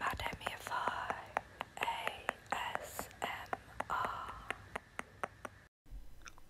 Madamify ASMR.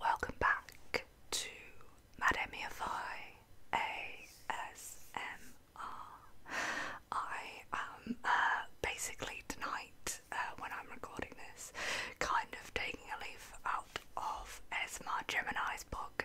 Welcome back to Madamify I am uh, basically tonight, uh, when I'm recording this, kind of taking a leaf out of Esma Gemini's book.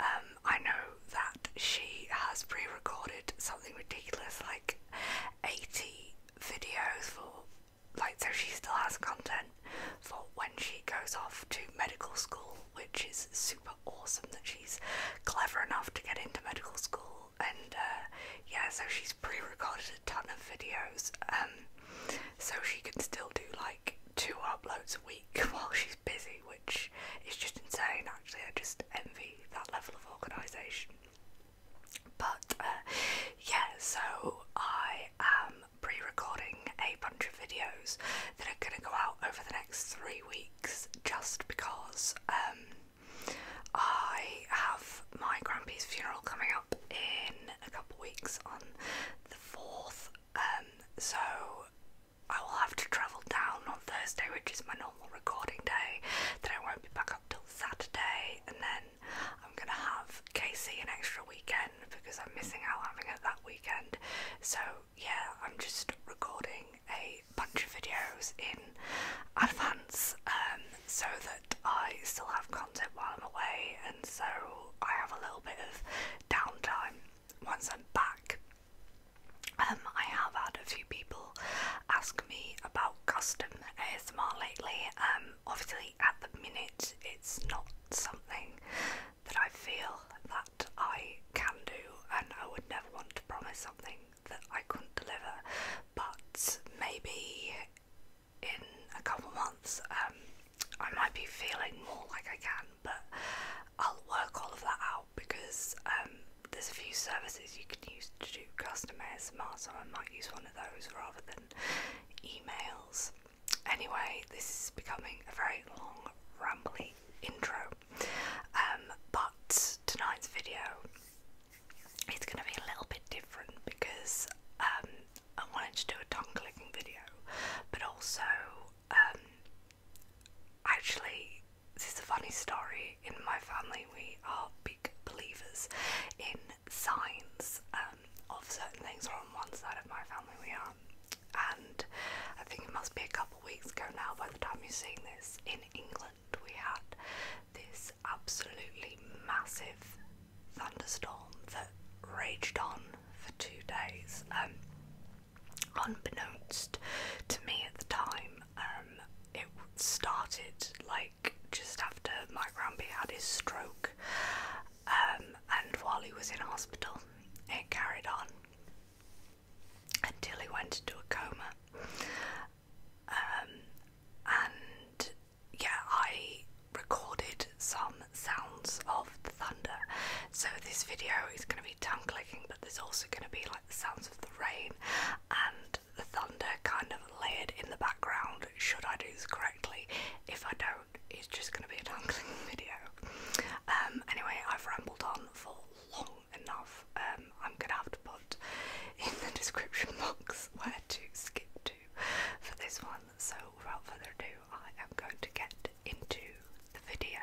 Um, I know that she has pre recorded something ridiculous like 80 videos for, like, so she still has content for when she goes off to medical school, which is super awesome that she's clever enough to get into medical school. And uh, yeah, so she's pre recorded a ton of videos, um, so she can still do like two uploads a week while she's busy, which is just insane actually. I just envy that level of organisation. But uh, yeah, so I am pre recording a bunch of videos that are going to go out over the next three weeks just because um, I have my grandpa's funeral coming up in a couple weeks on the 4th. Um, so I will have to travel down on Thursday, which is my normal recording day. Then I won't be back up till Saturday, and then I'm gonna have Casey an extra weekend because I'm missing out having it that weekend. So yeah, I'm just recording a bunch of videos in advance um, so that I still have content while I'm away, and so I have a little bit of downtime once I'm back. Um, I have had a few people ask me about custom ASMR lately. Um, obviously, at the minute, it's not something that I feel that I can do, and I would never want to promise something that I couldn't deliver. But maybe in a couple months, um, I might be feeling more like I can, but I'll work all of that out because um, there's a few services you can use to do custom ASMR, so I might use one of those rather than emails. Anyway, this is becoming a very long, rambling intro, um, but tonight's video it's going to be a little bit different because um, I wanted to do a tongue clicking video, but also Actually, this is a funny story. In my family, we are big believers in signs um, of certain things, or on one side of my family, we are. And I think it must be a couple weeks ago now by the time you're seeing this. In England, we had this absolutely massive thunderstorm that raged on for two days. Um, unbeknownst to me at the time, um, it started like just after my grandpa had his stroke, um, and while he was in hospital, it carried on until he went into a coma. Um, and yeah, I recorded some sounds of the thunder. So this video is going to be tongue clicking, but there's also going to be like the sounds of the rain and the thunder kind of layered in the background. Should I do this correctly? If I don't, it's just going to be a unboxing video. Um, anyway, I've rambled on for long enough. Um, I'm going to have to put in the description box where to skip to for this one. So, without further ado, I am going to get into the video.